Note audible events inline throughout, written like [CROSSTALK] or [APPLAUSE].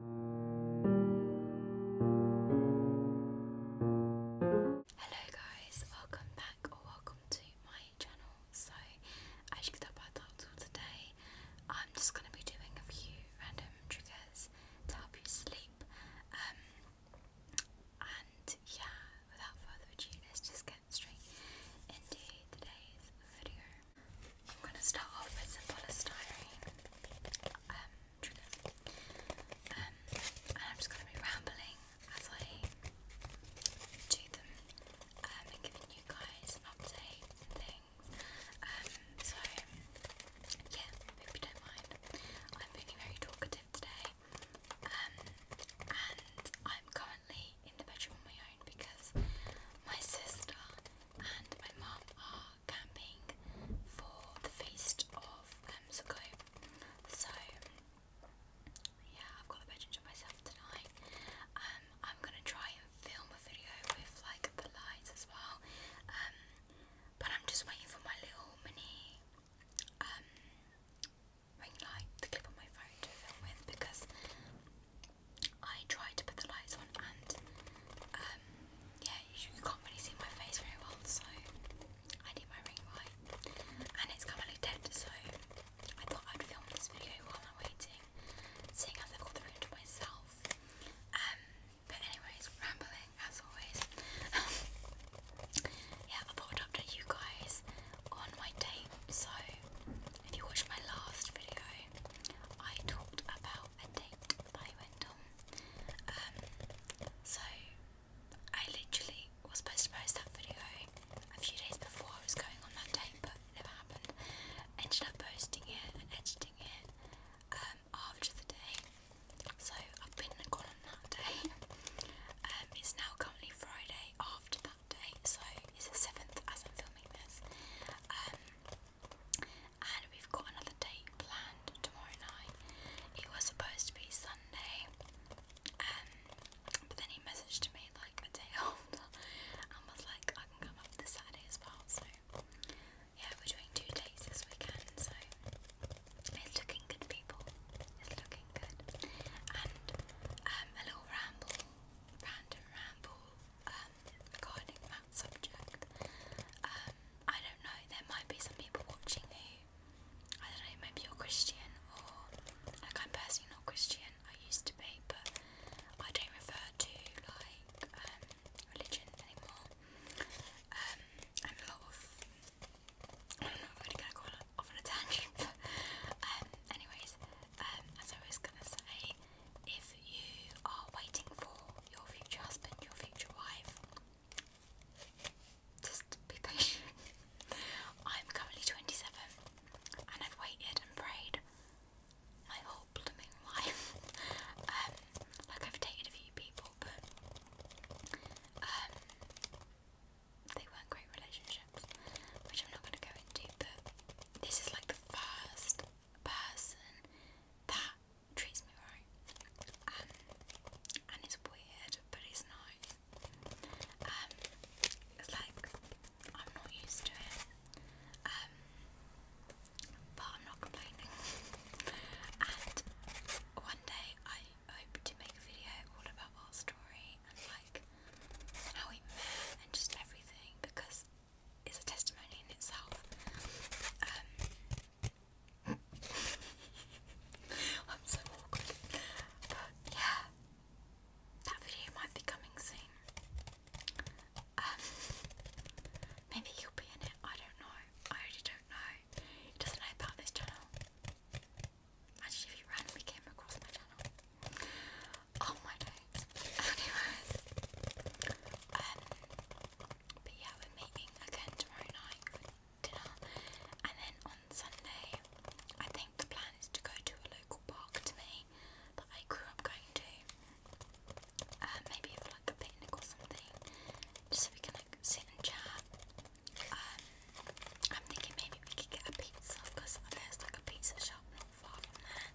Hello guys, welcome back or welcome to my channel. So as you can tell by the title today, I'm just going to be doing a few random triggers to help you sleep. Um, and yeah, without further ado, let's just get straight into today's video. I'm going to start off with some polystyrene um, um, and I'm just going to be rambling as I do them um, and giving you guys an update and things. so, yeah, hope you don't mind. I'm feeling very talkative today. and I'm currently in the bedroom on my own because my sister and my mom are camping for the feast of um, Sukkot. So yeah, I've got the bedroom to myself tonight. Um, I'm gonna try and film a video with like the lights as well. Um, but I'm just waiting for my little mini um ring light, the clip on my phone to film with because I tried to put the lights on and uh, um, yeah, you, you can't really see my face very well, so I did my ring right, and it's kind of dead, so I thought I'd film this video while I'm waiting, seeing as I've got the room to myself. Um, but anyways, rambling as always. [LAUGHS] yeah, I thought I'd you guys on my date. So, if you watched my last video, I talked about a date I went on. Um, so I literally was supposed to post that video a few days before I was going on that day, but it never happened. Ended up posting it and editing it um, after the day. So I've been gone on that day. Um, it's now currently Friday after that day, so it's the seventh as I'm filming this. Um, and we've got another date planned tomorrow night. It was supposed to be Sunday, um, but then he messaged me like a day [LAUGHS] after and was like, I can come up this Saturday as well. So, yeah, we're doing two dates this weekend, so it's looking good, people. It's looking good. And um, a little ramble, random ramble um, regarding that subject. Um, I don't know, there might be some people watching you. I don't know, maybe you're Christian or, like I'm personally not Christian, I used to be, but I don't refer to like um, religion anymore. Um, I'm a lot of, I'm not going to go off on a tangent, [LAUGHS] but um, anyways, um, as I was going to say, if you are waiting for your future husband, your future wife, just be patient. [LAUGHS] I'm currently 27 and I've waited and prayed my whole blooming life. [LAUGHS] Um, like, I've dated a few people, but um, they weren't great relationships, which I'm not going to go into, but this is like the first person that treats me right. Ah, and it's weird, but it's nice. Um, it's like I'm not used to it. Um, but I'm not complaining. and one day I hope to make a video all about our story and like how we met and just everything because it's a testimony in itself. Um, I'm so awkward. But yeah, that video might be coming soon. Um, maybe you'll be in it. I don't know. I really don't know. doesn't know about this channel. Imagine if he randomly came across my channel. Oh my days. [LAUGHS] Anyways, um, but yeah, we're meeting again tomorrow night for dinner. And then on Sunday, I think the plan is to go to a local park to me that I grew up going to. Uh, maybe for like a picnic or something. Just so we can like sit and chat. Um, I'm thinking maybe we could get a pizza because there's like a pizza shop not far from there.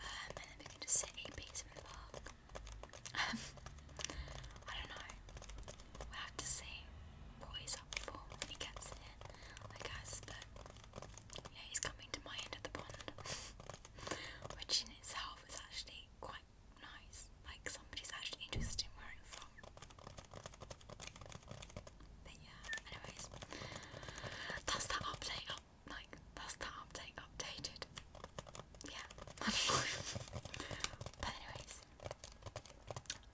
Um, and then we can just sit and eat pizza in the [LAUGHS] I don't know. we have to see what he's up for when he gets here, I guess. yeah, he's coming to my end of the pond, [LAUGHS] which in itself is actually quite nice. Like somebody's actually interested in where i from. But yeah, anyways, that's that update up. Like that's that update updated yeah, [LAUGHS] but anyways,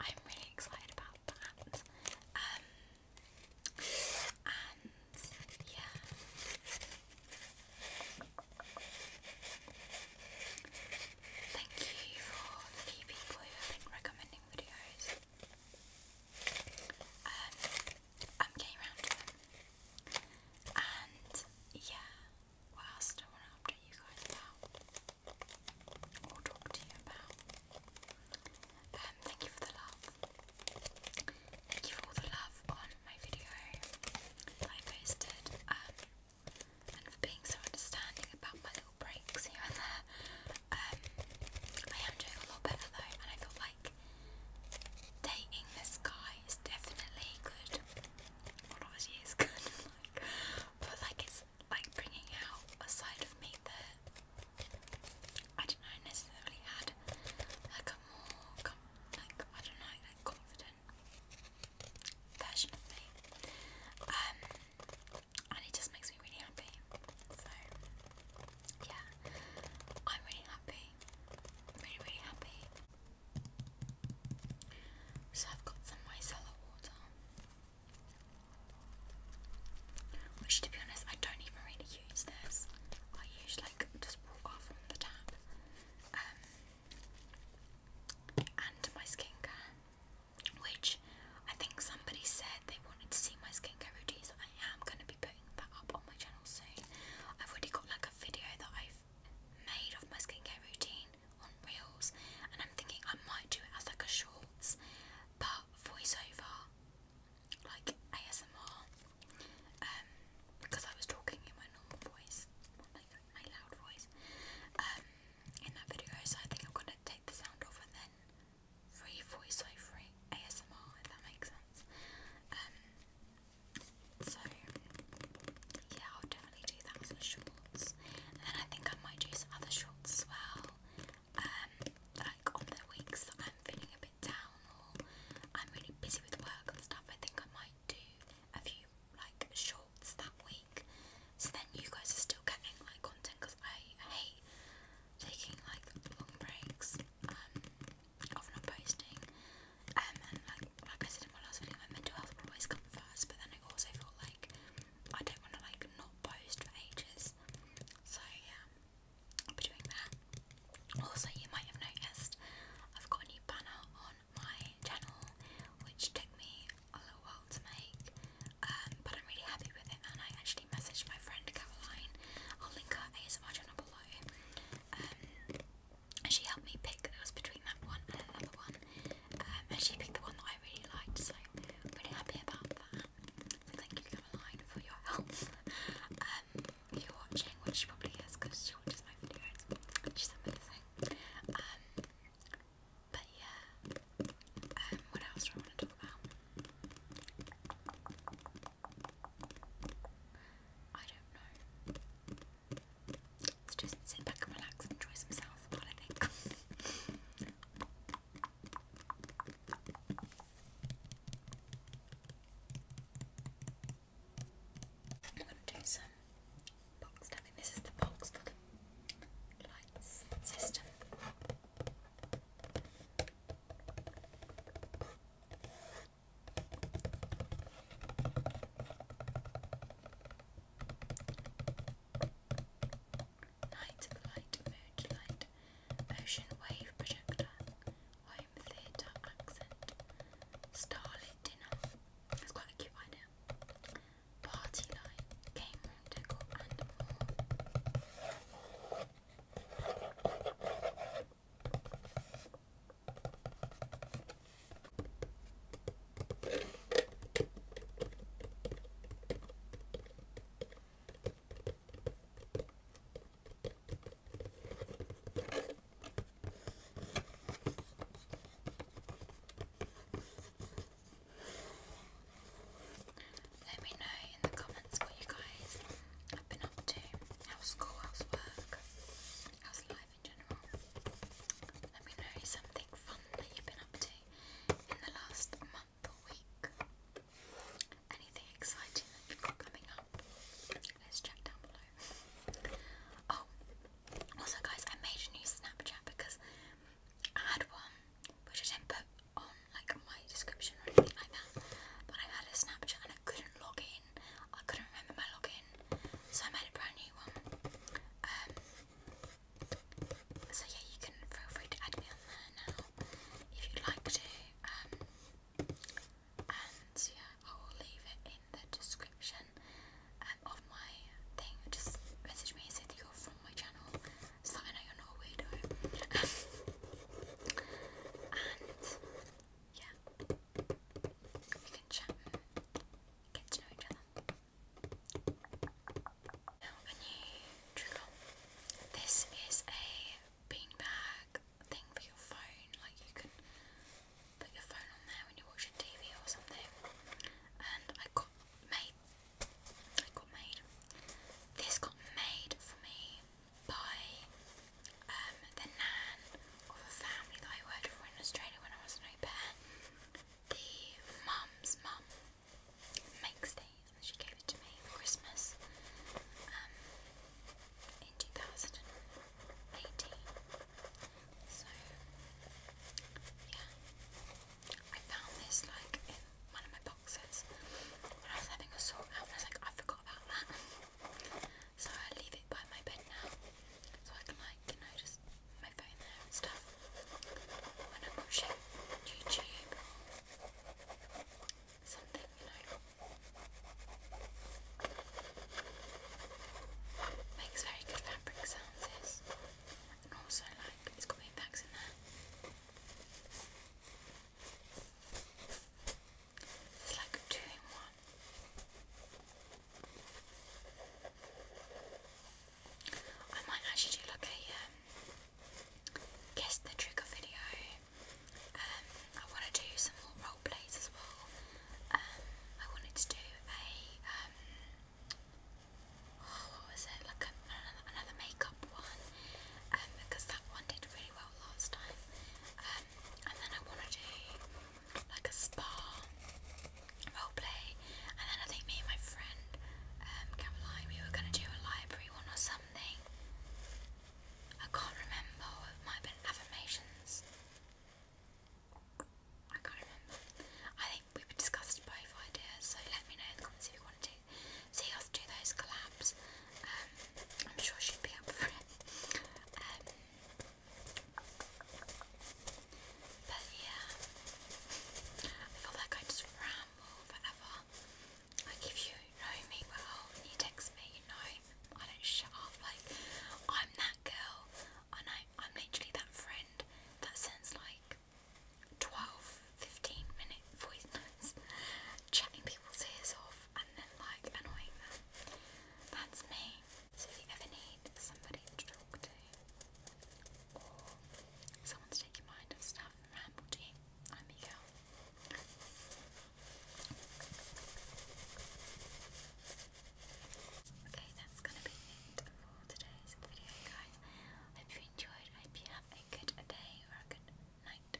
I'm really excited about that. Um, and yeah. Thank you for the people who have been recommending videos. Um, I'm getting around to them. And yeah, what else do I want to update you guys about? Or talk to you about? Um, thank you for the love. Thank you for all the love on my video I posted. Um, and for being so understanding about my little breaks here and there. Um, I am doing a lot better though, and I feel like dating this guy is definitely good well, obviously it's good, but like it's like bringing out a side of me that I don't know necessarily had, like a more like I don't know like confident version of me. Um, and it just makes me really happy. So yeah, I'm really happy, really really happy. So I've got some micellar water, which to be honest, I don't even really use this. I use like just water from the tap, um, and my skincare, which I think somebody said they wanted to see my skincare routine, so I am going to be putting that up on my channel soon. I've already got like a video that I've made of my skincare routine on reels, and I'm thinking I might do it as like a shorts, but voiceover, like ASMR, because um, I was talking in my normal voice, my loud voice, um, in that video. So I think I'm gonna take the sound off and then re voiceover ASMR, if that makes sense. Um, so yeah, I'll definitely do that as shorts. And then I think I might do some other shorts as well. Um, like on the weeks that I'm feeling a bit down or I'm really busy with work and stuff, I think I might do a few like shorts that week. So then you guys are still getting like content because I hate taking like long breaks um, not posting. Um, and like like I said in my last video, my mental health will always come first. But then I also feel like I don't want to like not post for ages. So yeah, I'll be doing that. Also, you might have noticed I've got a new banner on my channel, which took me a little while to make. Um, but I'm really happy with it, and I actually messaged my friend Caroline. I'll link her ASMR below. Um, she helped me pick, it between that one and another one, um, and she picked the one that I really liked, so I'm really happy about that. So thank you for your help. [LAUGHS] um, if you're watching, which she probably is because she watches my videos, which is amazing. Um, but yeah, um, what else do I want to talk about? I don't know. Let's just sit back and relax and enjoy some sounds I am gonna do some box tapping. This is the box for the lights system. Night light, mood light, ocean wave projector, home theatre accent, starlit dinner. That's quite a cute idea. Party light, game room decor, let me know in the comments what you guys have been up to. How's school, how's work, how's life let me know something fun that you've been up to in the last month or week. Anything exciting that you've got coming up? Let's check down below. Oh, also, guys, I made a new Snapchat because I had one which I didn't put on like my description or anything like that, but I had a Snapchat and I couldn't log in. I couldn't remember my login, so I made a brand new one. Um, so yeah, you can feel free to add me on there now if you'd like to. Um, and yeah, I will leave it in the description um, of my thing. Just message me and say that you're from my channel, so I know you're not a weirdo. [LAUGHS] and yeah, we can chat get to know each other. This is a beanbag thing for your phone. Like you can put your phone on there when you're watching TV or something. And I got made. I got made. This got made for me by um, the nan of a family that I worked for in Australia when I was an au the mum's mum makes these, and she gave it to me for Christmas um, in 2018. So, yeah, I found this like in one of my boxes when I was having a sort out, I was like, I forgot about that. [LAUGHS] So I leave it by my bed now, so I can like you my phone there and stuff when I'm watching YouTube. Something, you know. Makes very good fabric sounds this. And also like it's got impacts in there. It's like a two in one. I might actually do like a um, guess the trigger video. Um, I want to do some more role plays as well. Um, I wanted to do a oh, what was it like another makeup one because that one did really well last time. and then I want to do like a spa roleplay, and then I think me and my friend um, we were going to do a library one or something. I can't remember, might have been affirmations. I can't remember. I think we discussed both ideas, so let me know in the comments if you want to see us do those collabs. Um, I'm sure she'd be up for it. Um, but yeah, I feel like I just ramble forever. Like if you know me well you text me, you know I don't shut up. Like I'm that girl, and I, I'm literally that friend that sends like 12, 15 minute voice notes chatting people's ears off and then like annoying them. That's me. So if you ever need somebody to talk to, i Okay, that's gonna be it for today's video, guys. Hope you enjoyed. Hope you have a good day or a good night,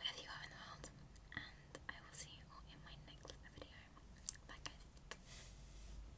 wherever you are in the world. And I will see you all in my next video. Bye, guys.